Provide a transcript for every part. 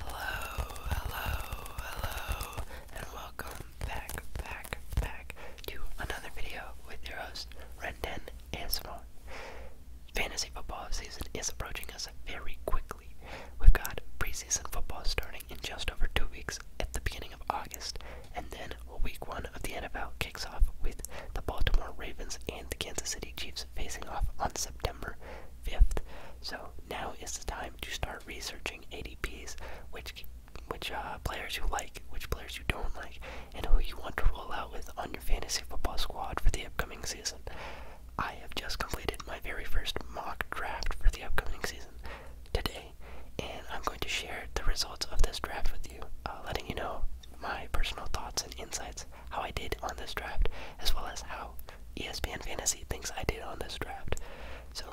Hello, hello, hello, and welcome back, back, back to another video with your host, Rendon ASMR. Fantasy football season is approaching us very quickly. We've got preseason football starting in just over two weeks at the beginning of August, and then week one of the NFL kicks off with the Baltimore Ravens and the Kansas City Chiefs facing off on September 5th. So now is the time to start researching ADPs, which which uh, players you like, which players you don't like, and who you want to roll out with on your fantasy football squad for the upcoming season. I have just completed my very first mock draft for the upcoming season today, and I'm going to share the results of this draft with you, uh, letting you know my personal thoughts and insights how I did on this draft, as well as how ESPN Fantasy thinks I did on this draft. So,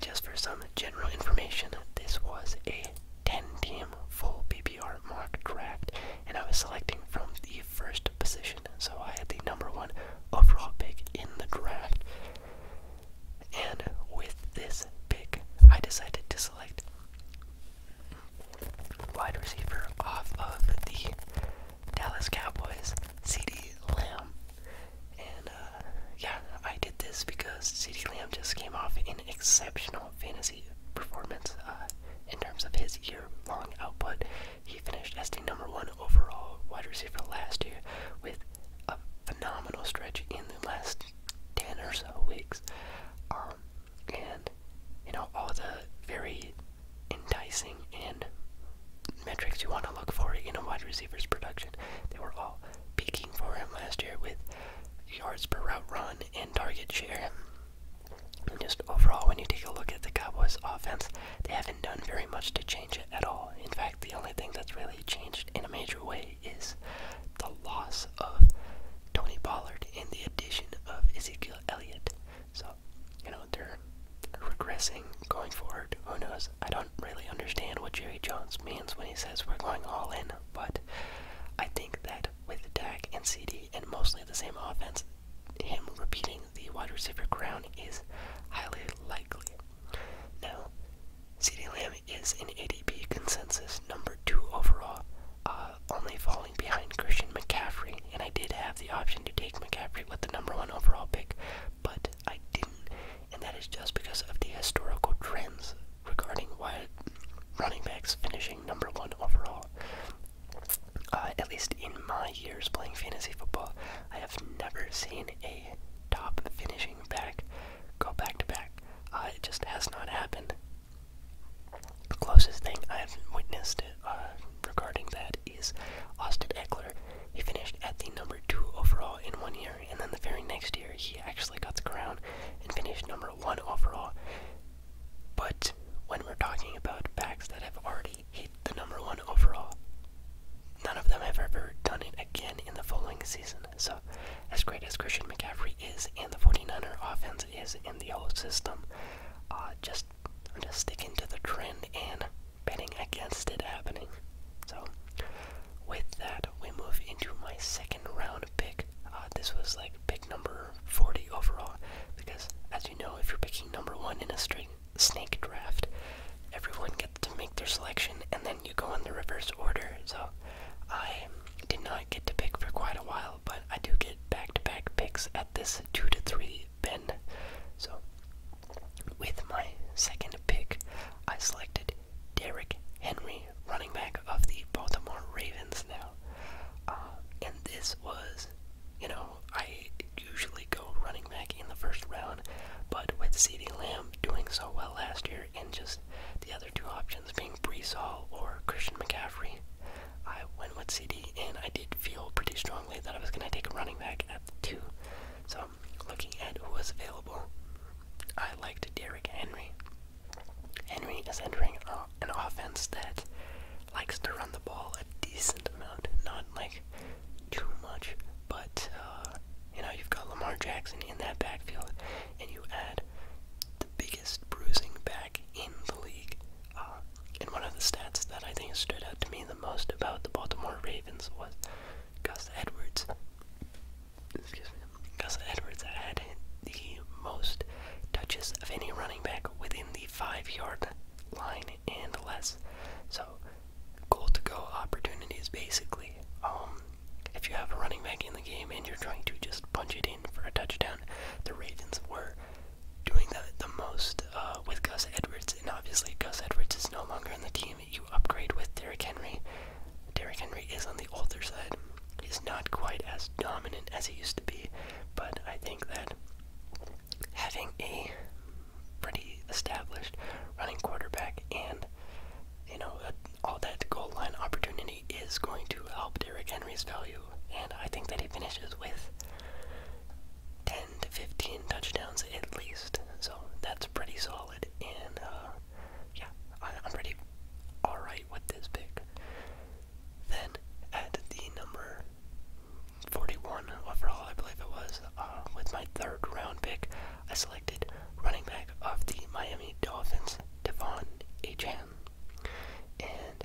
just for some general information, this was a 10 team full PBR mock draft, and I was selecting from the first position, so I had the number one overall pick in the draft. And with this pick, I decided to select wide receiver off of the Dallas Cowboys, CD Lamb. And uh, yeah, I did this because CD Lamb just came off an exceptional fantasy performance uh, in terms of his year long output. He finished as the number one overall wide receiver last year with a phenomenal stretch in the last 10 or so weeks. Um, and you know all the very enticing and metrics you want to look for in a wide receiver's production. They were all peaking for him last year with yards per route run and target share. And just overall, when you take a look at the Cowboys' offense, they haven't done very much to change it at all. In fact, the only thing that's really changed in a major way is the loss of Tony Pollard and the addition of Ezekiel Elliott. So, you know, they're regressing going forward. Who knows? I don't really understand what Jerry Jones means when he says we're going all in, but I think that with Dak and CD and mostly the same offense, him repeating the wide receiver crown is highly likely. Now, CD Lamb is an ADP consensus number two overall, uh, only falling behind Christian McCaffrey, and I did have the option to take McCaffrey with the number one overall pick, but I didn't, and that is just because of the historical trends regarding why running backs finishing number one overall. Uh, at least in my years playing fantasy football, I have never seen a top finishing back go back to back. Uh, it just has not happened. The closest thing I've witnessed uh, regarding that that is Austin Eckler. He finished at the number two overall in one year, and then the very next year he actually got the crown and finished number one overall. But when we're talking about backs that have already hit the number one overall, none of them have ever done it again in the following season. So, as great as Christian McCaffrey is, and the 49er offense is, and the whole system, uh, just I'm just sticking to the trend and betting against it happening. So with that, we move into my second round pick. Uh, this was like pick number 40 overall because, as you know, if you're picking number one in a string snake draft, everyone gets to make their selection and then you go in the reverse order. So I did not get to pick for quite a while, but I do get back-to-back -back picks at this two to three already So, with my second pick, I selected Derek Henry, running back of the Baltimore Ravens now. Uh, and this was, you know, I usually go running back in the first round, but with C.D. Lamb doing so well last year and just the other two options being Brees Hall or Christian McCaffrey, I went with CD, and I did feel pretty strongly that I was going to take a running back at the two. So, looking at who was available, I liked Derrick Henry. Henry is entering an offense that likes to run the ball a decent amount, not like too much, but uh, you know, you've got Lamar Jackson in that backfield, and you add the biggest bruising back in the league uh, and one of the stats that I think stood out to me the most about the Baltimore Ravens was Gus Edwards. Excuse me. Gus Edwards had the most touches of any running back within the five-yard line and less. So, goal-to-go opportunities basically. Um, if you have a running back in the game and you're trying to just punch it in for a touchdown, the Ravens were doing the, the most uh, with Gus Edwards, and obviously Gus Edwards is no longer on the team. You upgrade with Derrick Henry. Derrick Henry is on the older side. He's not quite as dominant as he used to be, but I think that having a pretty established running quarterback and you know all that goal line opportunity is going to help Derrick Henry's value, and I think that he finishes with 10 to 15 touchdowns at least. So that's pretty solid. And uh, yeah, I'm pretty alright with this pick. Then at the number 41 overall, I believe it was, uh, with my third round pick, I selected running back of the Miami Dolphins, Devon Achan. And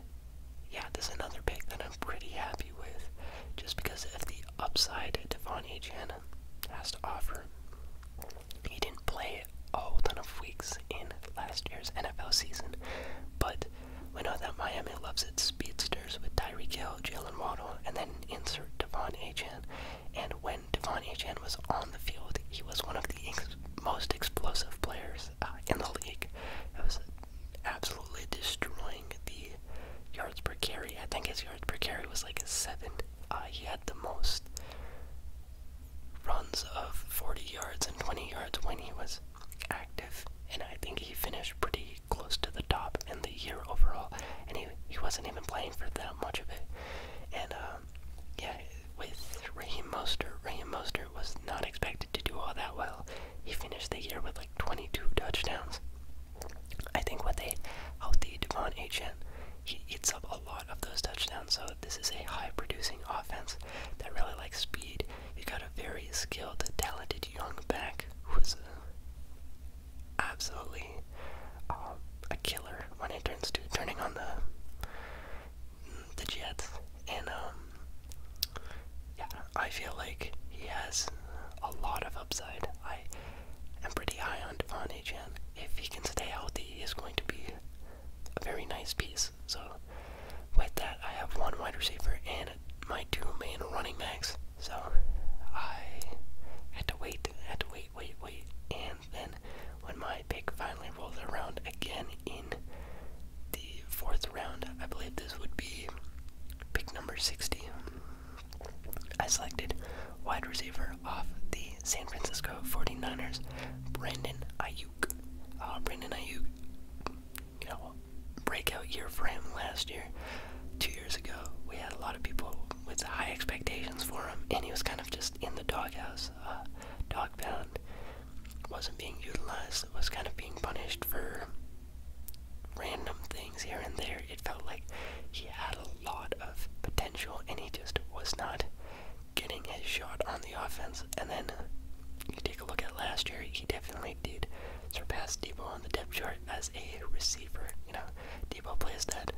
yeah, this is another pick that I'm pretty happy with just because of the upside Devon Hanna has to offer. He didn't play a whole ton of weeks in last year's NFL season, but we know that Miami loves its speedsters with Tyreek Hill, Jalen Waddle, and then insert Devon Achan. And when Devon Achan was on the field, he was one of the most explosive players uh, in the league absolutely destroying the yards per carry. I think his yards per carry was like a seven. Uh, he had the most runs of 40 yards and 20 yards when he was active, and I think he finished pretty close to the top in the year overall. And he he wasn't even playing for that much of it. And um, yeah, with Raheem Moster, Raheem Moster was not expected to do all that well. He finished the year with like. 22 touchdowns. I think with a healthy Devon Achan, he eats up a lot of those touchdowns. So this is a high-producing offense that really likes speed. You got a very skilled, talented young back who is absolutely um, a killer when it turns to turning on the the Jets. And um, yeah, I feel like he has a lot of upside. I am pretty high on Devon Achan. If he can stay healthy, he is going to be a very nice piece. So, with that, I have one wide receiver and my two main running backs. So, I had to wait, had to wait, wait, wait. And then, when my pick finally rolls around again in the fourth round. I believe this would be pick number 60. I selected wide receiver off the San Francisco 49ers, Brandon Ayuk. Uh, Brandon Ayuk, you know, breakout year for him last year. Two years ago, we had a lot of people with high expectations for him, and he was kind of just in the doghouse, uh, dog pound. Wasn't being utilized, was kind of being punished for random things here and there. It felt like he had a lot of potential and he just was not getting a shot on the offense. And then you take a look at last year, he definitely did surpass Debo on the depth chart as a receiver. You know, Debo plays that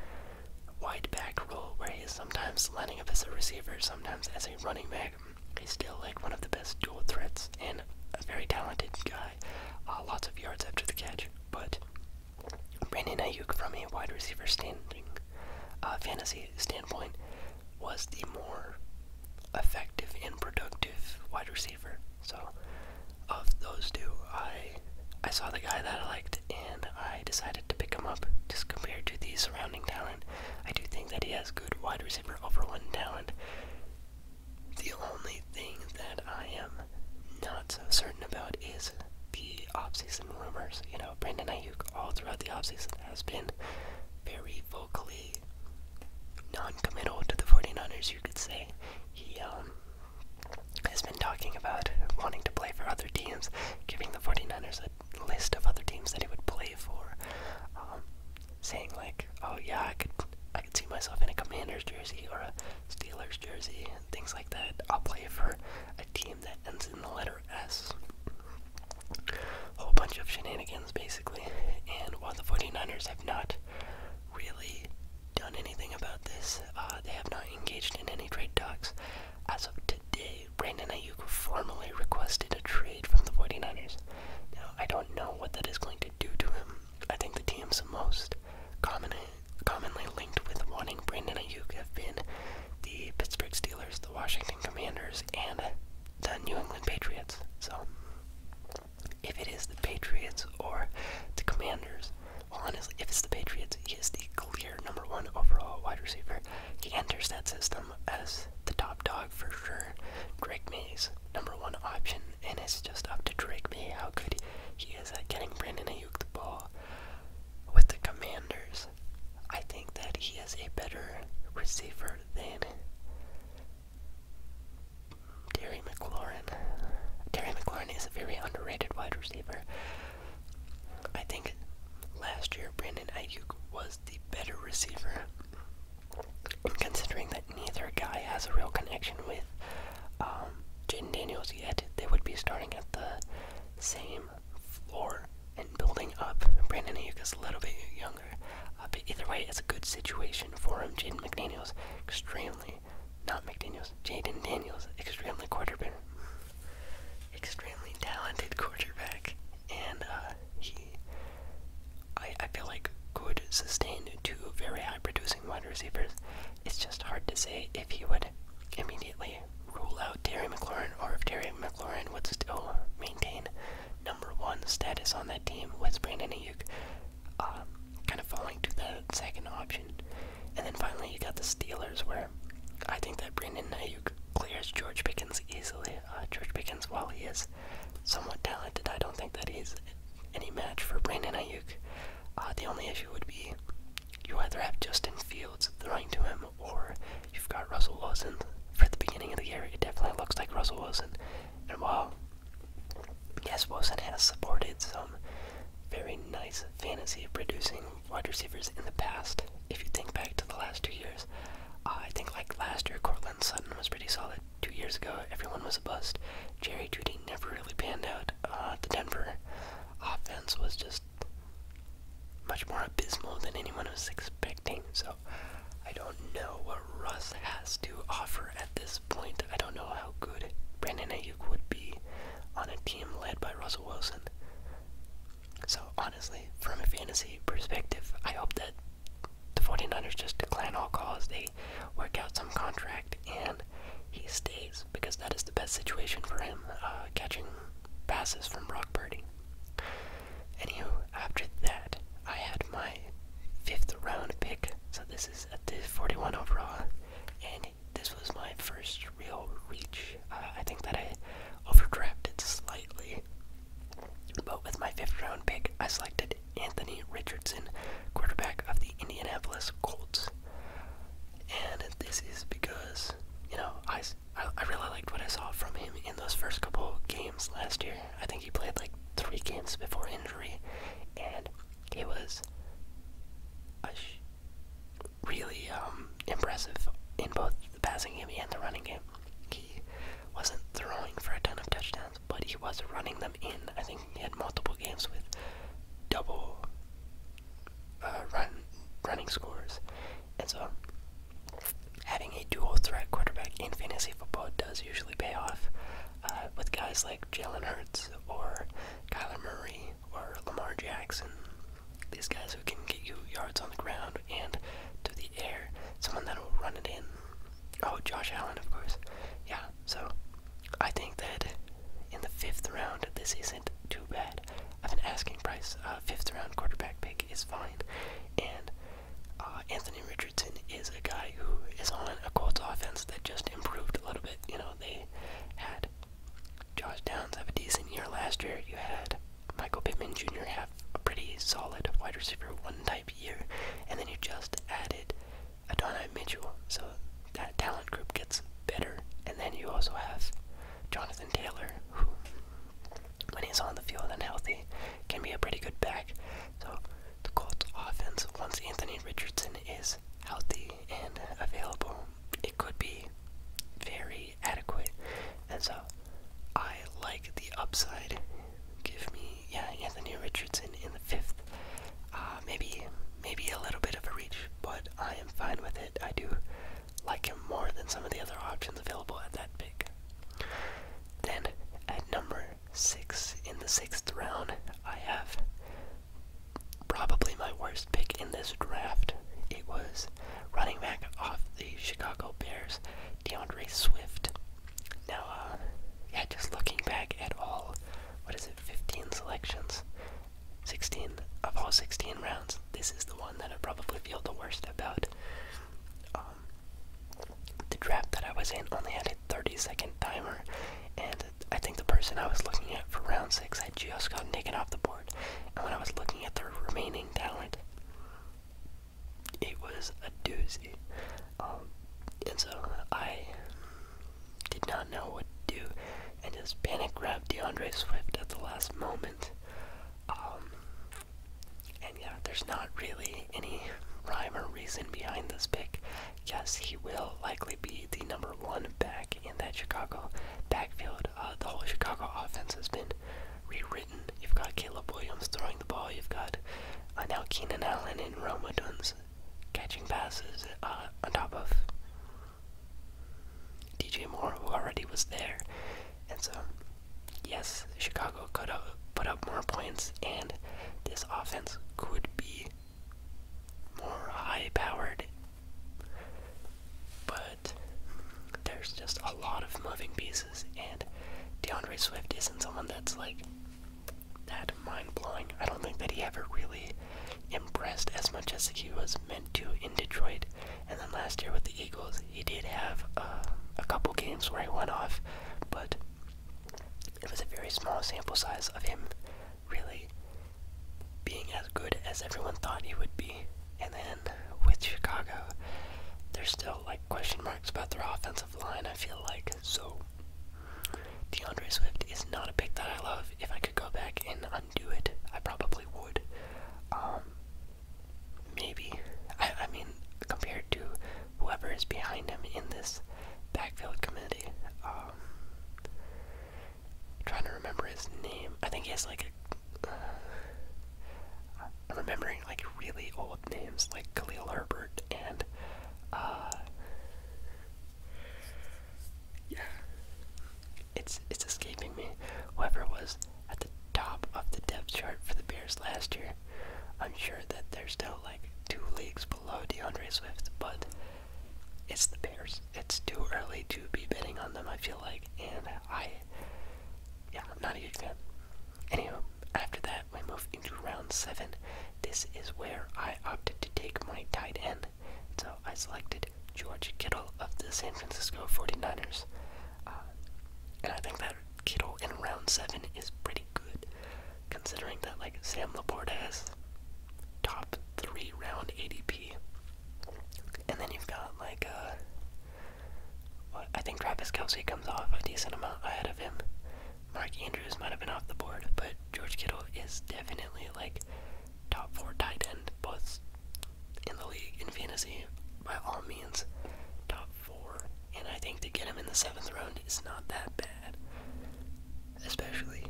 wide back role where he is sometimes lining up as a receiver, sometimes as a running back. He's still like one of the best dual threats and a very talented guy. Uh, lots of yards after the catch. But Brandon Ayuk, from a wide receiver standing uh, fantasy standpoint, was the more effective and productive wide receiver. So of those two, I I saw the guy that I liked, and I decided to pick him up. Just compared to the surrounding talent, I do think that he has good wide receiver overall talent. The only thing that I am not so certain about is the offseason rumors. You know, Brandon Ayuk all throughout the offseason has been very vocally non-committal to the 49ers, you could say. He um, has been talking about wanting to play for other teams, giving the 49ers a list of other teams that he would play for. Um, saying like, "Oh yeah, I could, I could see myself in a Commanders jersey or a Steelers jersey and things like that. I'll play for a team that ends in the letter S." Whole bunch of shenanigans, basically. And while the 49ers have not really done anything about this, uh, they have not engaged in any trade talks. As of today, Brandon Ayuk formally requested a trade from the 49ers. Now, I don't know what that is going to do to him. I think the teams most commonly commonly linked with wanting Brandon Ayuk have been the Pittsburgh Steelers, the Washington Commanders, and the New England Patriots. So if it is the Patriots or the Commanders, well, honestly, if it's the Patriots, he is the clear number one overall wide receiver. He enters that system as the top dog for sure. Drake Mays number one option, and it's just up to Drake May how good he is at getting Brandon Ayuk the ball. With the Commanders, I think that he is a better receiver than Terry McLaurin. Terry McLaurin is a very underrated wide receiver. I think last year Brandon Ayuk was the better receiver considering that neither guy has a real connection with um, Jaden Daniels yet, they would be starting at the same floor and building up. Brandon Ayuk is a little bit younger, uh, but either way, it's a good situation for him. Jaden McDaniels, extremely, not McDaniels, Jaden Daniels, extremely quarterback, extremely talented quarterback, and uh, he I, feel like could sustain two very high producing wide receivers. It's just hard to say if he would immediately rule out Terry McLaurin or if Terry McLaurin would still maintain number one status on that team with Brandon Ayuk uh, kind of falling to the second option. And then finally you got the Steelers where I think that Brandon Ayuk clears George Pickens easily. Uh, George Pickens, while he is somewhat talented, I don't think that he's any match for Brandon Ayuk. Uh, the only issue would be you either have Justin Fields throwing to him or you've got Russell Wilson. For the beginning of the year, it definitely looks like Russell Wilson. And while, yes, Wilson has supported some very nice fantasy producing wide receivers in the past, if you think back to the last two years, uh, I think like last year, Cortland Sutton was pretty solid two years ago, everyone was a bust. Jerry Judy never really panned out. Uh, the Denver offense was just much more abysmal than anyone was expecting. So I don't know what Russ has to offer at this point. I don't know how good Brandon Ayuk would be on a team led by Russell Wilson. So honestly, from a fantasy perspective, I hope that the 49ers just decline all calls. They work out some contract and he stays because that is the best situation for him, uh, catching passes from Brock Purdy. Anywho, after that, I had my fifth round pick, so this is at the 41 overall, and this was my first real reach. Uh, I think that I overdrafted slightly, but with my fifth round pick, I selected Anthony Richardson, quarterback of the Indianapolis Colts. And this is because, you know, I, I, really liked what I saw from him in those first couple games last year. I think he played like three games before injury, and it was really um, impressive in both the passing game and the running game. He wasn't throwing for a ton of touchdowns, but he was running them in. I think he had multiple games with double uh, run running scores, and so having a dual threat quarterback in fantasy football does usually pay off uh, with guys like Jalen Hurts or Kyler Murray or Lamar Jackson. These guys who can get you yards on the ground and to the air. Someone that will run it in. Oh, Josh Allen, of course. Yeah, so, I think that in the fifth round, this isn't too bad. I've been asking price. a uh, fifth round quarterback pick is fine, and uh, Anthony Richardson is a guy who is on a Colts offense that just improved a little bit. You know, they had Josh Downs have a decent year last year. You had Michael Pittman Jr. have a pretty solid wide receiver one type year, and then you just added Adonai Mitchell. So that talent group gets better. And then you also have Jonathan Taylor, who, when he's on the field and healthy, can be a pretty good back. So the Colts offense, once Anthony Richardson is healthy and available, it could be very adequate. And so I like the upside. Give me yeah, Anthony Richardson in the fifth. Uh, maybe, maybe a little bit of a reach, but I am fine with it. I do like him more than some of the other options available at that pick. Then at number six in the sixth round, I have probably my worst pick in this draft. It was running back off the Chicago Bears, DeAndre Swift. Now, uh, yeah, just looking back at all, what is it, 15 selections? 16 of all 16 rounds, this is the one that I probably feel the worst about. Um, the draft that I was in only had a 30 second timer, and I think the person I was looking at for round 6 had just gotten taken off the board. And when I was looking at the remaining talent, it was a doozy. Um, and so I did not know what to do and his panic grabbed DeAndre Swift at the last moment. Um, and yeah, there's not really any rhyme or reason behind this pick. Yes, he will likely be the number one back in that Chicago backfield. Uh, the whole Chicago offense has been rewritten. You've got Caleb Williams throwing the ball. You've got uh, now Keenan Allen and Roma Duns catching passes uh, on top of DJ Moore, who already was there. And so, yes, Chicago could uh, put up more points, and this offense could be more high powered. But there's just a lot of moving pieces, and DeAndre Swift isn't someone that's like that mind blowing. I don't think that he ever really impressed as much as he was meant to in Detroit. And then last year with the Eagles, he did have uh, a couple games where he went off, but it was a very small sample size of him really being as good as everyone thought he would be. And then with Chicago, there's still like question marks about their offensive line. I feel like so. DeAndre Swift is not a pick that I love. If I could go back and undo it, I probably would. Um, maybe. I, mean, compared to whoever is behind him in this backfield committee, um, trying to remember his name. I think he has like a. Uh, I'm remembering like really old names like Khalil Herbert and uh, yeah. It's it's escaping me. Whoever was at the top of the depth chart for the Bears last year, I'm sure that they're still like two leagues below DeAndre Swift, but it's the Bears. It's too early to be betting on them, I feel like, and I yeah, I'm not a huge fan. Anywho, after that that, we move into round seven. This is where I opted to take my tight end. So I selected George Kittle of the San Francisco 49ers. Uh, and I think that Kittle in round seven is pretty good, considering that like Sam Laporte has top three round ADP, and then you've got like uh, well, I think Travis Kelsey comes off a decent amount ahead of him, Mark Andrews might have been off the board, but George Kittle is definitely like top four tight end, both in the league and fantasy by all means, top four. And I think to get him in the seventh round is not that bad, especially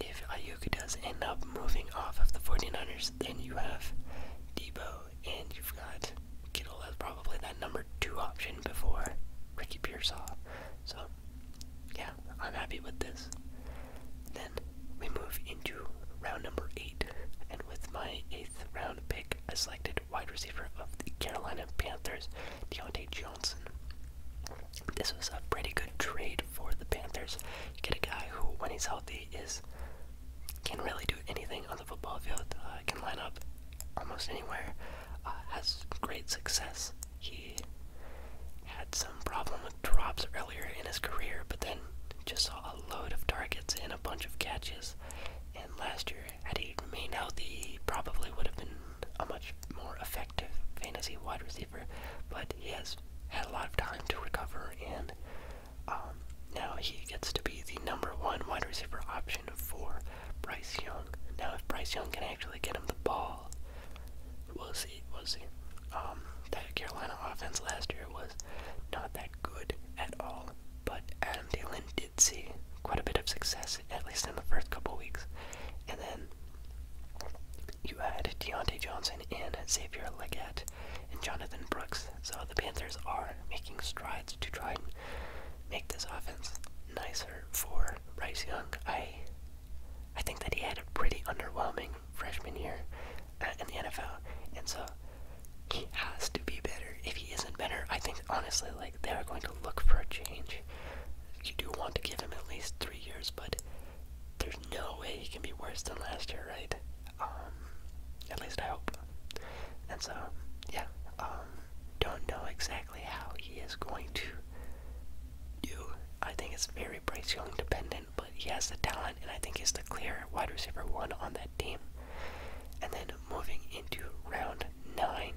if Ayuka does end up moving off of the 49ers. Then you have Debo, and you've got Kittle as probably that number two option before Ricky Pearsall. So, yeah, I'm happy with this. Then we move into round number eight, and with my eighth round pick, I selected wide receiver of the Carolina Panthers, Deontay Johnson. This was a pretty good trade for the Panthers. You get a guy who, when he's healthy, is can really do anything on the football field. Uh, can line up almost anywhere. Uh, has great success he had some problem with drops earlier in his career, but then just saw a load of targets and a bunch of catches. And last year, had he remained healthy, he probably would have been a much more effective fantasy wide receiver. But he has had a lot of time to recover, and um, now he gets to be the number one wide receiver option for Bryce Young. Now, if Bryce Young can actually get him the ball, we'll see. We'll see. Um, that Carolina offense last year was not that good at all, but Adam Dillon did see quite a bit of success, at least in the first couple weeks. And then you add Deontay Johnson and Xavier Leggett and Jonathan Brooks. So the Panthers are making strides to try and make this offense nicer for Bryce Young. I I think that he had a pretty underwhelming freshman year uh, in the NFL, and so he has to be better. If he isn't better, I think honestly, like they are going to look for a change. You do want to give him at least three years, but there's no way he can be worse than last year, right? Um, at least I hope. And so, yeah. Um, don't know exactly how he is going to do. I think it's very Bryce Young dependent, but he has the talent, and I think he's the clear wide receiver one on that team. And then moving into round nine,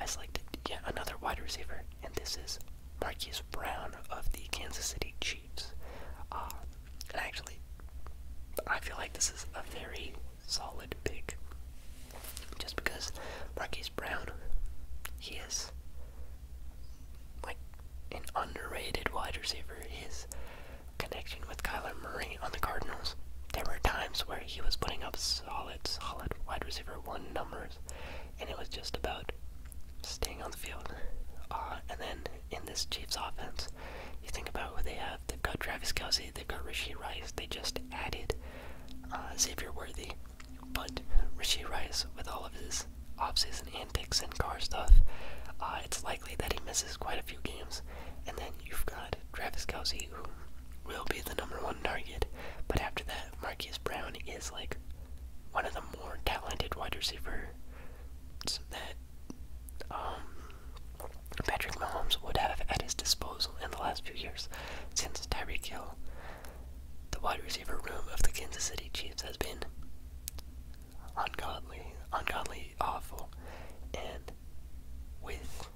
I selected yet another wide receiver, and this is Marquise Brown of the Kansas City Chiefs. Uh, actually, I feel like this is a very solid pick. Just because Marquise Brown, he is like an underrated wide receiver. His connection with Kyler Murray on the Cardinals, there were times where he was putting up solid, solid wide receiver one numbers, and it was just about staying on the field. Uh, and then in this Chiefs offense, you think about what they have. They've got Travis Kelsey, they've got Rishi Rice, they just added uh, Xavier Worthy. But Richie Rice, with all of his offseason antics and car stuff, uh, it's likely that he misses quite a few games. And then you've got Travis Kelsey, who will be the number one target. But after that, Marquise Brown is like one of the more talented wide receivers that um, Patrick Mahomes would have at his disposal in the last few years since Tyreek Hill the wide receiver room of the Kansas City Chiefs has been ungodly, ungodly awful. And with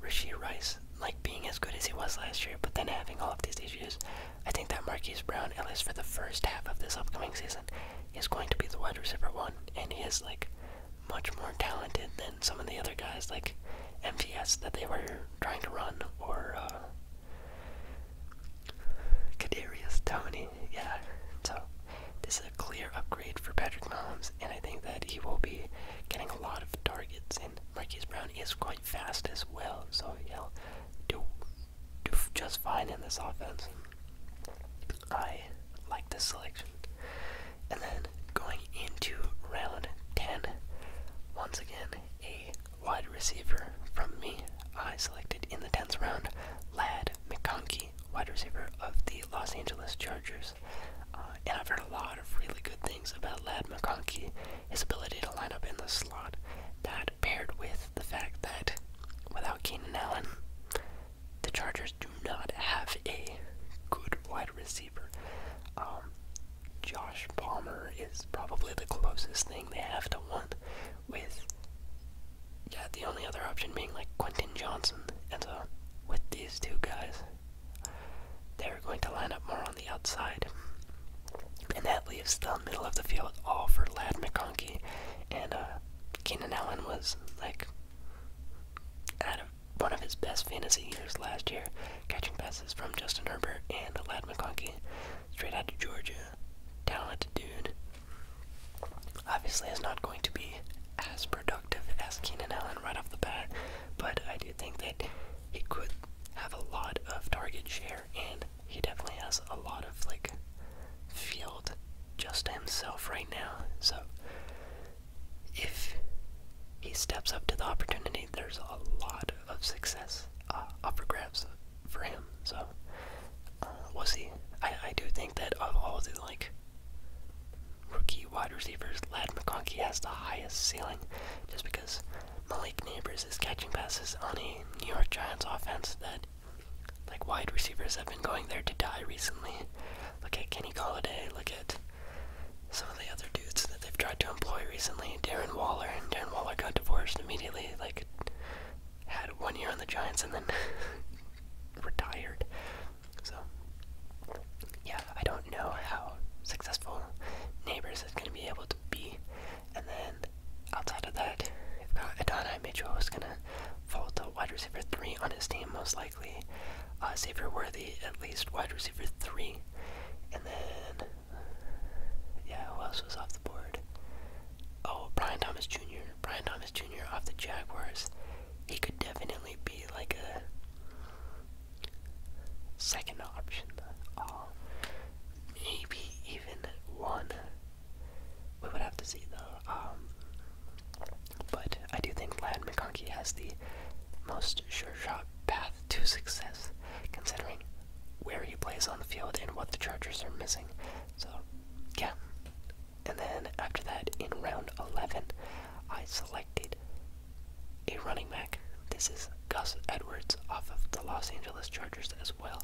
Rishi Rice, like being as good as he was last year, but then having all of these issues, I think that Marquise Brown, at least for the first half of this upcoming season, is going to be the wide receiver one, and he is like much more talented than some of the other guys. Like MVS that they were trying to run, or uh, Tony. Yeah, so this is a clear upgrade for Patrick Mahomes, and I think that he will be getting a lot of targets. And Marquise Brown is quite fast as well, so he'll do do just fine in this offense. I like this selection. And then going into round 10. Once again, a wide receiver from me. I selected in the 10th round Lad McConkey, wide receiver of the Los Angeles Chargers. Uh, and I've heard a lot of really good things about Lad McConkey, his ability to line up in the slot. That paired with the fact that without Keenan Allen, the Chargers do not have a good wide receiver. Um, Josh Palmer is probably the closest thing they have to one, with yeah, the only other option being like Quentin Johnson. And so, with these two guys, they're going to line up more on the outside. And that leaves the middle of the field all for Lad McConkey. And uh, Keenan Allen was like out of one of his best fantasy years last year, catching passes from Justin Herbert and Ladd McConkey, straight out to Georgia. Talented dude. Obviously, is not going to be as productive as Keenan Allen right off the bat, but I do think that he could have a lot of target share, and he definitely has a lot of like field just himself right now. So if he steps up to the opportunity there's a lot of success uh, up for grabs for him. So uh, we'll see. I, I do think that of all the like rookie wide receivers, Lad McConkey has the highest ceiling, just because Malik Neighbors is catching passes on a New York Giants offense that like wide receivers have been going there to die recently. Look at Kenny Galladay. Look at some of the other dudes that they've tried to employ recently, Darren Waller, and Darren Waller got divorced immediately, like had one year on the Giants and then retired. So yeah, I don't know how successful Neighbors is gonna be able to be. And then outside of that, I've got Adonai Mitchell is gonna fall to wide receiver three on his team most likely. Uh, Xavier Worthy at least wide receiver three. And then, yeah, who else was off the board? Oh, Brian Thomas Jr. Brian Thomas Jr. off the Jaguars. He could definitely be like a second option. Oh, maybe even one. We would have to see though. Um, but I do think Lad McConkey has the most sure shot path to success, considering where he plays on the field and what the Chargers are missing. So, yeah. And then after that, in round 11, I selected a running back. This is Gus Edwards off of the Los Angeles Chargers as well.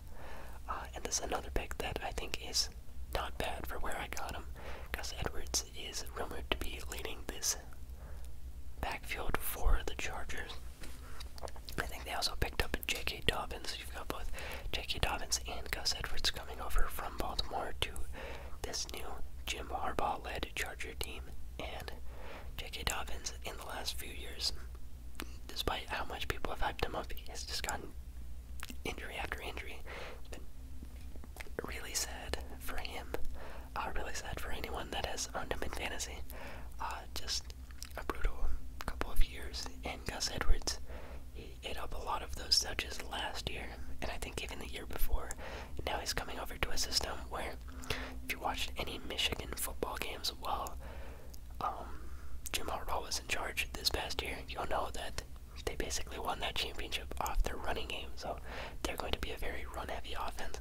Uh, and this is another pick that I think is not bad for where I got him. Gus Edwards is rumored to be leading this his backfield for the Chargers. I think they also picked up J.K. Dobbins. You've got both J.K. Dobbins and Gus Edwards coming over from Baltimore to this new Jim Harbaugh led Charger team. And J.K. Dobbins, in the last few years, despite how much people have hyped him up, he has just gotten injury after injury. it really sad for him. Uh, really sad for anyone that has owned him in fantasy. Uh, just a brutal couple of years. And Gus Edwards, he ate up a lot of those touches last year, and I think even the year before. Now he's coming over to a system where, if you watched any Michigan football games well, um, Jim Harbaugh was in charge this past year. You'll know that they basically won that championship off their running game, so they're going to be a very run-heavy offense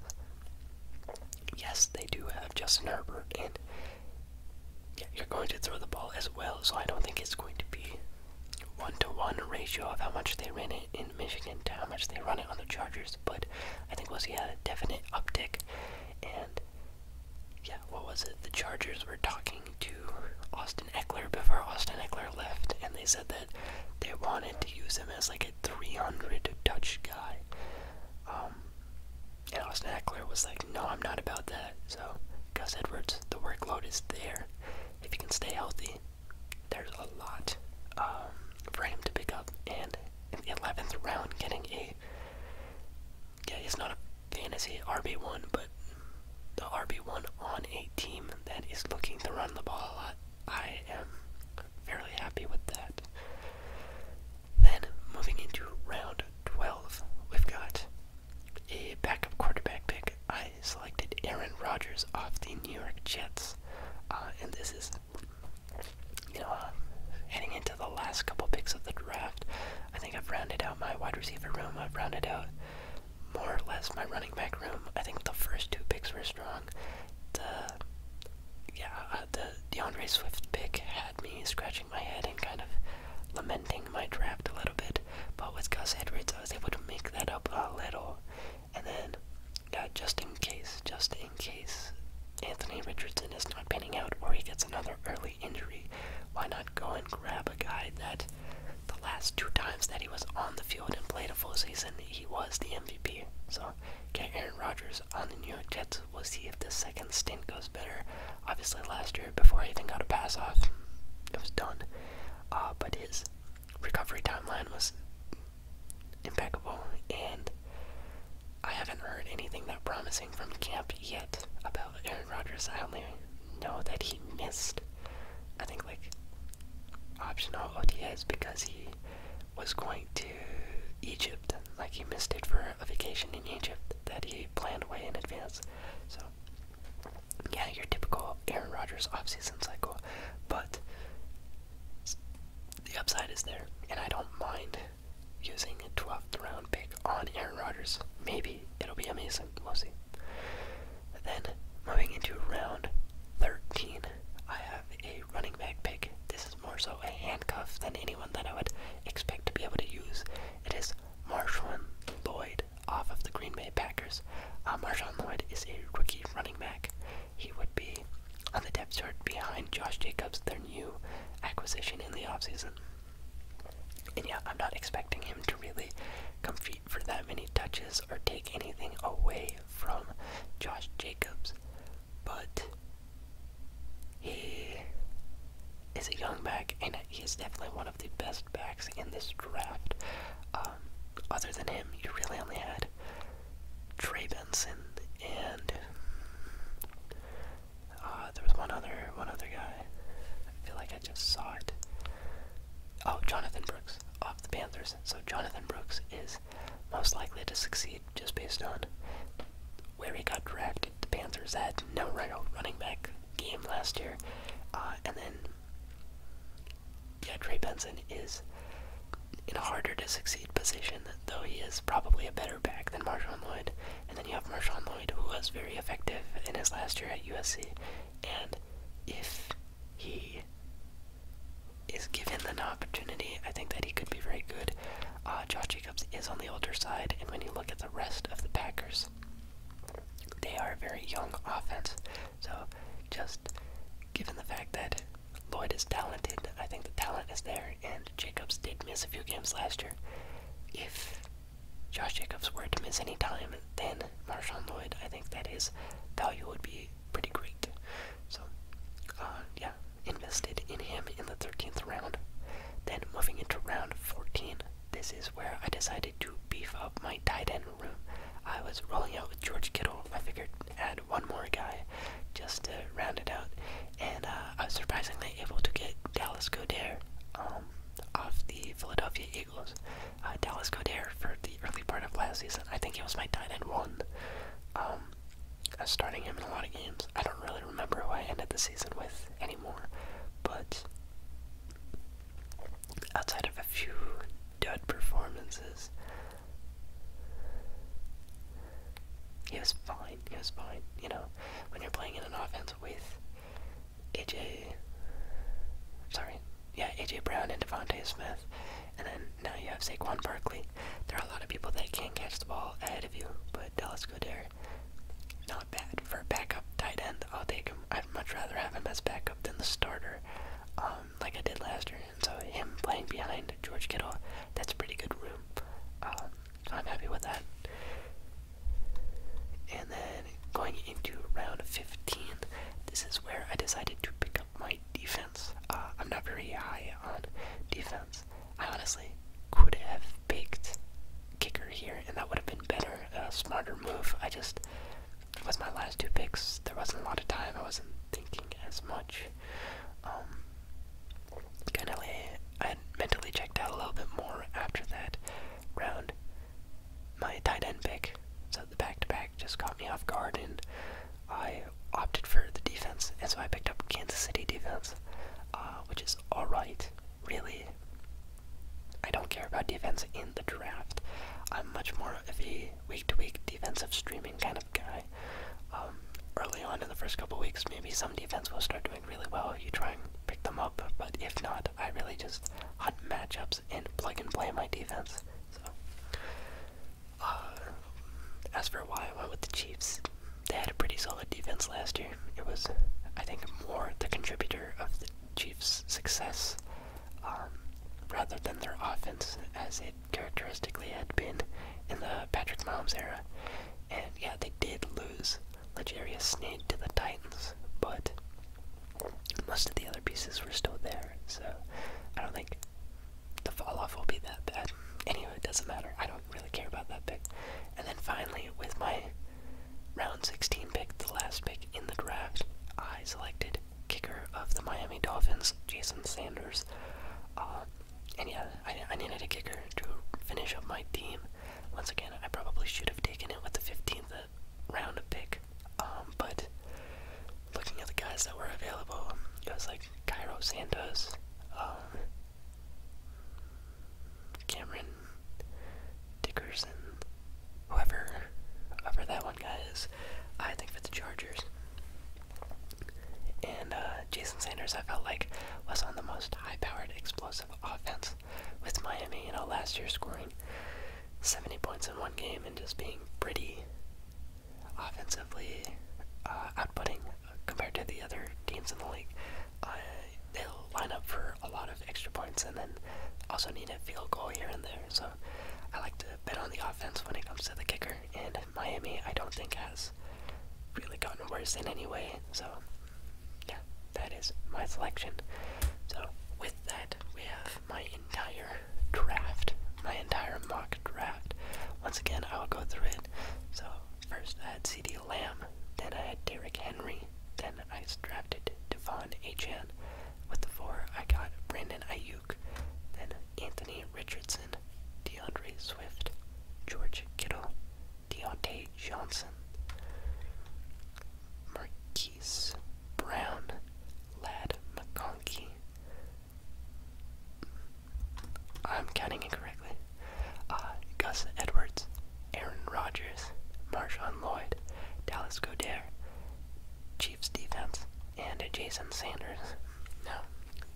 yes, they do have Justin Herbert, and yeah, you're going to throw the ball as well, so I don't think it's going to be one to one ratio of how much they ran it in Michigan to how much they run it on the Chargers, but I think we'll see a definite uptick. And yeah, what was it? The Chargers were talking to Austin Eckler before Austin Eckler left, and they said that they wanted to use him as like hit 300 touch guy. Um, and Austin Eckler was like, no, I'm not about that. So, Gus Edwards, the workload is there. If you can stay healthy, there's a lot um, for him to pick up. And in the 11th round, getting a. Yeah, he's not a fantasy RB1, but the RB1 on a team that is looking to run the ball a lot. I am fairly happy with that. Then moving into round 12, we've got a backup quarterback pick. I selected Aaron Rodgers off the New York Jets, uh, and this is, you know, uh, heading into the last couple picks of the draft. I think I've rounded out my wide receiver room. I've rounded out more or less my running back room. I think the first two picks were strong yeah, uh, the Andre Swift pick had me scratching my head and kind of lamenting my draft a little bit. But with Gus Edwards, I was able to make that up a little. And then, yeah, just in case, just in case Anthony Richardson is not panning out or he gets another early injury, why not go and grab a guy that the last two times that he was on the field and played a full season, he was the MVP. So Get Aaron Rodgers on the New York Jets. We'll see if the second stint goes better. Obviously, last year, before he even got a pass off, it was done. Uh, but his recovery timeline was impeccable, and I haven't heard anything that promising from camp yet about Aaron Rodgers. I only know that he missed, I think, like optional OTAs because he was going to Egypt. Like he missed it for a vacation in Egypt that he planned way in advance. So, yeah, your typical Aaron Rodgers offseason cycle. But the upside is there, and I don't mind using a 12th round pick on Aaron Rodgers. Maybe it'll be amazing. We'll see. Then, moving into round 13, I have a running back pick. This is more so a handcuff than anyone that I would expect to be able to use. It is Marshawn Lloyd off of the Green Bay Packers. Uh, Marshawn Lloyd is a rookie running back. He would be on the depth chart behind Josh Jacobs, their new acquisition in the offseason. And yeah, I'm not expecting him to really compete for that many touches or take anything away from Josh Jacobs but he is a young back, and he is definitely one of the best backs in this draft. Um, other than him, you really only had Trey Benson and uh, there was one other one other guy. I feel like I just saw it. Oh, Jonathan Brooks of the Panthers. So Jonathan Brooks is most likely to succeed just based on where he got drafted. The Panthers had no running back game last year. Uh, and then, yeah, Trey Benson is in a harder to succeed position, though he is probably a better back than Marshawn Lloyd. And then you have Marshawn Lloyd, who was very effective in his last year at USC. And if he is given an opportunity, I think that he could be very good. Uh, Josh Jacobs is on the older side, and when you look at the rest of the Packers, they are a very young offense. So, just given the fact that Lloyd is talented, I think the talent is there, and Jacobs did miss a few games last year. If Josh Jacobs were to miss any time, then Marshawn Lloyd, I think that his value would be pretty great. So, uh, yeah, invested in him in the 13th round. Then moving into round 14, this is where I decided to beef up my tight end room. I was rolling out with George Kittle. I figured add one more guy just to round it out. And uh, I was surprisingly able to get Dallas Goddard um, off the Philadelphia Eagles. Uh, Dallas Goddard for the early part of last season. I think he was my tight end one. Um, uh, starting him in a lot of games. I don't really remember who I ended the season with anymore, but outside of a few dud performances, he was fine. He was fine. You know, when you're playing in an offense with AJ, sorry, yeah, AJ Brown and Devonte Smith, and then now you have Saquon Barkley. There are a lot of people that can't catch the ball ahead of you, but Dallas Goodere, not bad. For a backup tight end, I'll take him. I'd much rather have him as backup than the starter, um, like I did last year. And so him playing behind George Kittle, that's pretty good room. Um, I'm happy with that. And then going into round 15, this is where I decided to pick up my defense. Uh, I'm not very high on defense. I honestly could have picked kicker here, and that would have been better, a smarter move. I just, with my last two picks, there wasn't a lot of time. I wasn't thinking as much. Um, kind of, I mentally checked out a little bit more after that round. My tight end pick, so the back to -back just caught me off guard, and I opted for the defense, and so I picked up Kansas City defense, uh, which is alright, really. I don't care about defense in the draft. I'm much more of a week to week defensive streaming kind of guy. Um, early on in the first couple weeks, maybe some defense will start doing really well. if You try and pick them up, but if not, I really just hunt matchups and plug and play my defense. Uh, as for why I went with the Chiefs, they had a pretty solid defense last year. It was, I think, more the contributor of the Chiefs' success um, rather than their offense, as it characteristically had been in the Patrick Mahomes era. And yeah, they did lose Legarius Sneed to the Titans, but most of the other pieces were still there, so I don't think the fall off will be that bad. Anyway, it doesn't matter. I don't really care about that pick. And then finally, with my round 16 pick, the last pick in the draft, I selected kicker of the Miami Dolphins, Jason Sanders. Uh, and yeah, I, needed a kicker to finish up my team. Once again, I probably should have taken it with the 15th uh, round pick. Um, but looking at the guys that were available, it was like, like Cairo um, Cameron Dickerson, whoever, whoever that one guy is, I think for the Chargers. And uh, Jason Sanders, I felt like, was on the most high-powered, explosive offense with Miami. You last year scoring 70 points in one game and just being pretty offensively uh, outputting compared to the other teams in the league. Uh, they'll line up for a lot of extra points and then also need a field goal here and there. So I like to bet on the offense when it comes to the kicker. And Miami, I don't think, has really gotten worse in any way. So yeah, that is my selection. So with that, we have my entire draft, my entire mock draft. Once again, I'll go through it. So first I had C.D. Lamb, then I had Derrick Henry, then I drafted Devon Achan. With the four I got Brandon Ayuk, then Anthony Richardson, DeAndre Swift, George Kittle, Deontay Johnson, Marquise Brown, Lad McConkey, I'm counting incorrectly. Uh, Gus Edwards, Aaron Rodgers, Marshawn Lloyd, Dallas Goddard, Chiefs defense, and Jason Sanders. Now,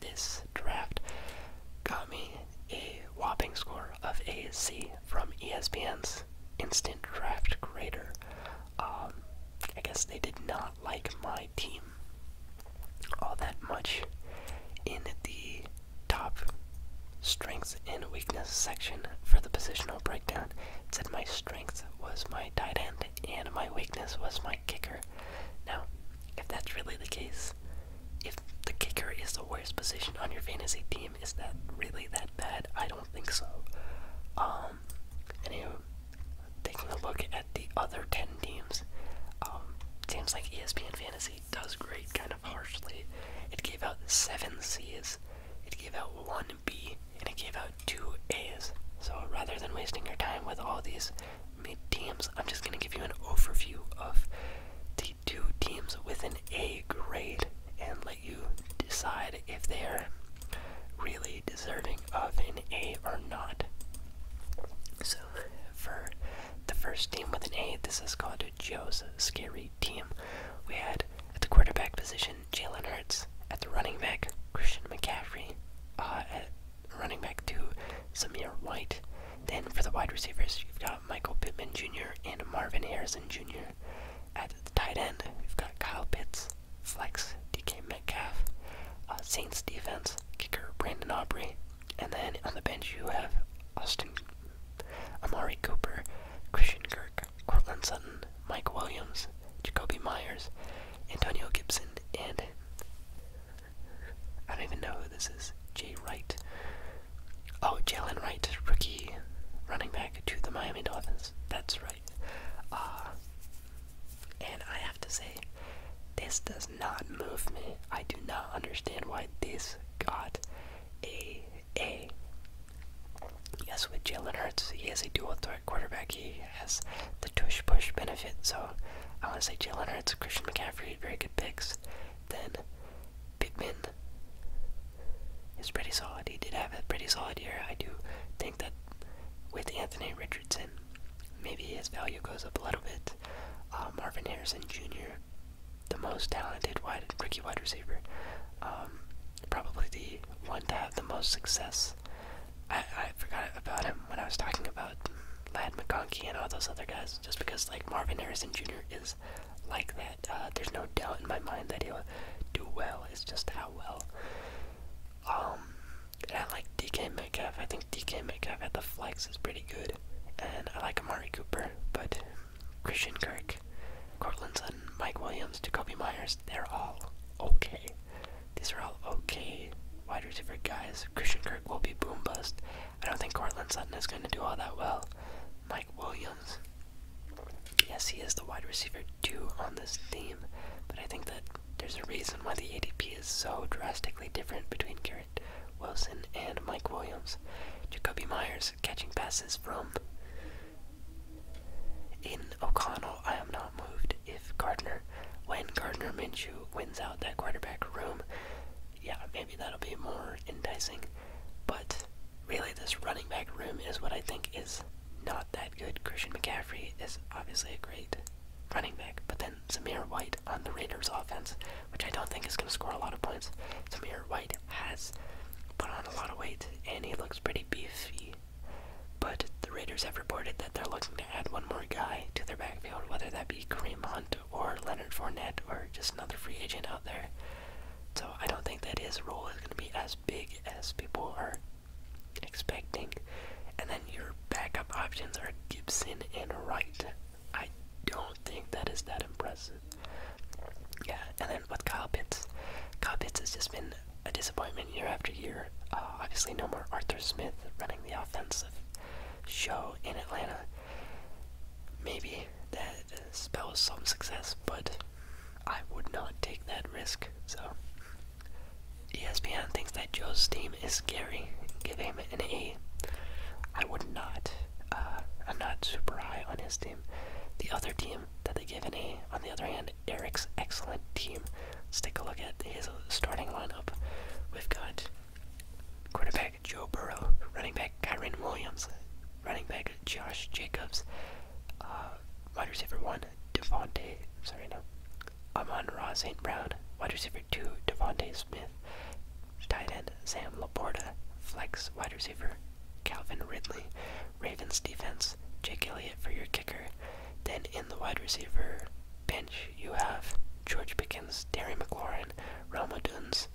this draft got me a whopping score of a C from ESPN's instant draft grader. Um, I guess they did not like my team all that much in the top strengths and weakness section for the positional breakdown. said my strength was my tight end and my weakness was my kicker. Now, if that's really the case, if the kicker is the worst position on your fantasy team, is that really that bad? I don't think so. Um, anyway, taking a look at the other 10 teams, seems um, like ESPN Fantasy does great. kind of harshly. It gave out seven C's, it gave out one B, and it gave out two A's. So rather than wasting your time with all these teams, I'm just going to give you an overview of the two teams with an A grade and let you decide if they are really deserving of an A or not. So, for the first team with an A, this is called Joe's Scary Team. We had at the quarterback position Jalen Hurts, at the running back Christian McCaffrey, uh, at running back two Samir White. Then for the wide receivers, you've got Michael Pittman Jr. and Marvin Harrison Jr. At the tight end, we've got Kyle Pitts, Flex, DK Metcalf, uh, Saints defense, kicker Brandon Aubrey, and then on the bench, you have Austin, Amari Cooper, Christian Kirk, Cortland Sutton, Mike Williams, Jacoby Myers, Antonio Gibson, and I don't even know who this is. Jay Wright. Oh, Jalen Wright, rookie running back to the Miami Dolphins. That's right. Uh, and I have to say, this does not move me. I do not understand why this got a A. Yes, with Jalen Hurts, he is a dual threat quarterback. He has the tush push benefit, so I want to say Jalen Hurts, Christian McCaffrey, very good picks. Then Pittman is pretty solid. He did have a pretty solid year. I do think that with Anthony Richardson, maybe his value goes up a little bit. Uh, Marvin Harrison Jr., the most talented wide, rookie wide receiver, um, probably the one to have the most success. I, I forgot about him when I was talking about Lad McConkey and all those other guys, just because like Marvin Harrison Jr. is like that. Uh, there's no doubt in my mind that he'll do well. It's just how well. Um, I like DK Metcalf. I think DK Metcalf at the flex is pretty good. And I like Amari Cooper, but Christian Kirk, Cortland Sutton, Mike Williams, Jacoby Myers, they're all okay. These are all okay wide receiver guys. Christian Kirk will be boom bust. I don't think Cortland Sutton is going to do all that well. Mike Williams, yes, he is the wide receiver two on this team, but I think that there's a reason why the ADP is so drastically different between Gary Wilson and Mike Williams. Jacoby Myers catching passes from in O'Connell. I am not moved if Gardner, when Gardner Minshew wins out that quarterback room, yeah, maybe that'll be more enticing. But really, this running back room is what I think is not that good. Christian McCaffrey is obviously a great running back, but then Samir White on the Raiders offense, which I don't think is going to score a lot of points. Samir White has put on a lot of weight and he looks pretty beefy. But the Raiders have reported that they're looking to add one more guy to their backfield, whether that be Kareem Hunt or Leonard Fournette or just another free agent out there. So I don't think that his role is going to be as big as people are expecting. And then your backup options are Gibson and Wright. I don't think that is that impressive. Yeah, and then with Kyle Pitts, Kyle Pitts has just been a disappointment year after year. Uh, obviously, no more Arthur Smith running the offensive show in Atlanta. Maybe that spells some success, but I would not take that risk. So, ESPN thinks that Joe's team is scary. Give him an A I would not. Uh, I'm not super high on his team. The other team that they give an on the other hand, Eric's excellent team. Let's take a look at his starting lineup. We've got quarterback Joe Burrow, running back Kyron Williams, running back Josh Jacobs, uh, wide receiver one Devontae, sorry no, Amon Ross St. Brown, wide receiver receiver two, Devontae Smith, tight end Sam Laporta, flex wide receiver Calvin Ridley, Ravens defense Jake Elliott for your kicker. Then in the wide receiver bench you have George Pickens, Terry McLaurin, Roma Duns.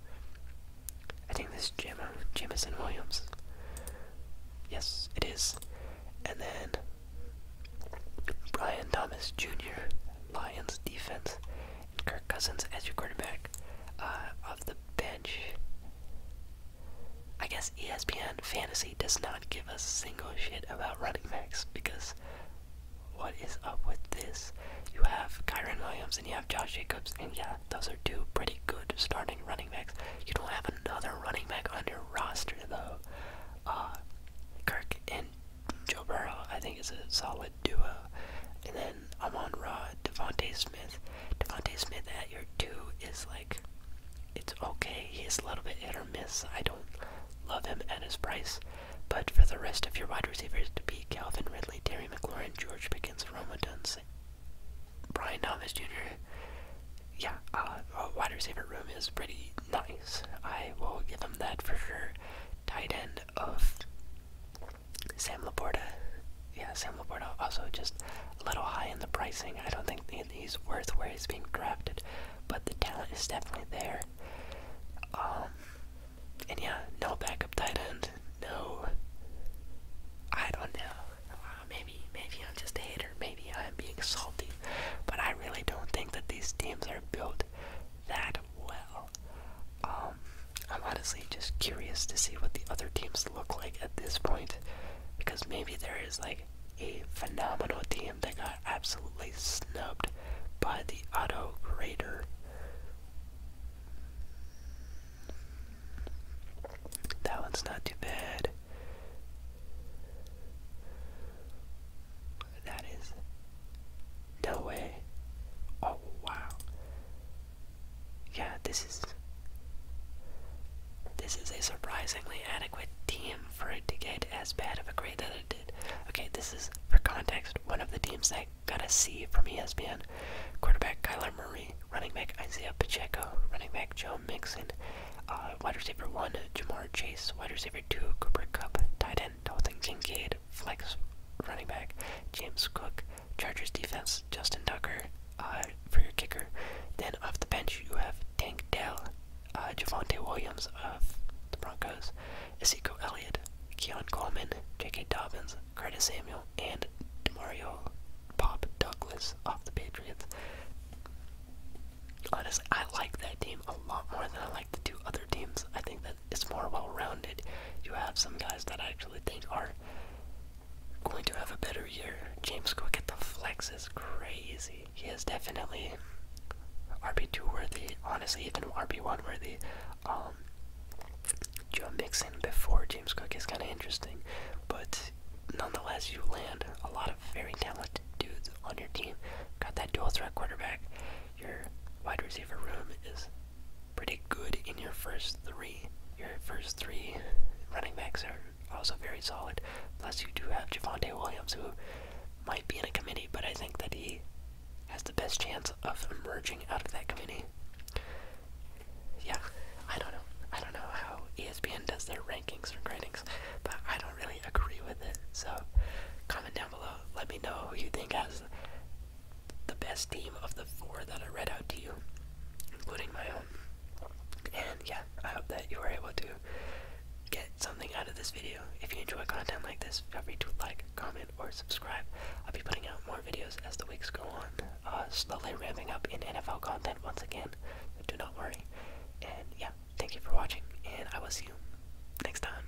I think this is Jam Jamison Williams. Yes, it is. And then Brian Thomas Jr., Lions defense, Kirk Cousins as your quarterback uh, the bench. I guess ESPN Fantasy does not give a single shit about running backs because what is up with this? You have Kyron Williams and you have Josh Jacobs, and yeah, those are two pretty good starting running backs. You don't have another running back on your roster though. Uh, Kirk and Joe Burrow, I think, is a solid duo. And then I'm on Rod Devontae Smith. Devontae Smith at your two is like, it's okay. He's a little bit hit or miss. I don't love him at his price. But for the rest of your wide receivers to be Calvin Ridley, Terry McLaurin, George Pickens, Roma Dunze, Brian Thomas Jr., yeah, uh, wide receiver room is pretty nice. I will give him that for sure. Tight end, of Sam Laporta. Yeah, Sam Laporta also just a little high in the pricing. I don't think he's worth where he's being drafted, but the talent is definitely there. Um, and yeah, no backup tight end. No, I don't know. Uh, maybe, maybe I'm just a hater. Maybe I'm being salty, but I really don't think that these teams are built that well. Um, I'm honestly just curious to see what the other teams look like at this point, because maybe there is like a phenomenal team that got absolutely snubbed by the auto grader. That one's not too bad that is. No way. Oh, wow. Yeah, this is. This is a surprisingly adequate team for it to get as bad of a grade that it did. Okay, this is, for context, one of the teams that got a C from ESPN. Quarterback Kyler Murray, running back Isaiah Pacheco, running back Joe Mixon, uh, wide receiver 1 Jamar Chase, wide receiver 2 Cooper Cup, tight end Dalton Kincaid, flex running back. James Cook, Chargers defense. Justin Tucker uh, for your kicker. Then off the bench, you have Tank Dell, uh, Javante Williams of the Broncos, Ezekiel Elliott, Keon Coleman, J.K. Dobbins, Curtis Samuel, and Demario Pop Douglas off the Patriots. Honestly, I like that team a lot more than I like the two other teams. I think that it's more well-rounded. You have some guys that I actually think are going to have a better year. James Cook at the flex is crazy. He is definitely RB2 worthy, honestly, even RB1 worthy. Um, Joe Mixon before James Cook is kind of interesting, but nonetheless, you land a lot of very talented dudes on your team. Got that dual threat quarterback your wide receiver room is pretty good in your first three. Your first three running backs are also very solid. Plus, you do have Javante Williams, who might be in a committee, but I think that he has the best chance of emerging out of that committee. Yeah, I don't know. I don't know how ESPN does their rankings or gradings, but I don't really agree with it. So, comment down below. Let me know who you think has the best team of the four that I read out to you, including my own. And yeah, I hope that you were able to get something out of this video. If you enjoy content like this, feel free to like, comment, or subscribe. I'll be putting out more videos as the weeks go on, uh, slowly ramping up in NFL content once again, do not worry. And yeah, thank you for watching, and I will see you next time.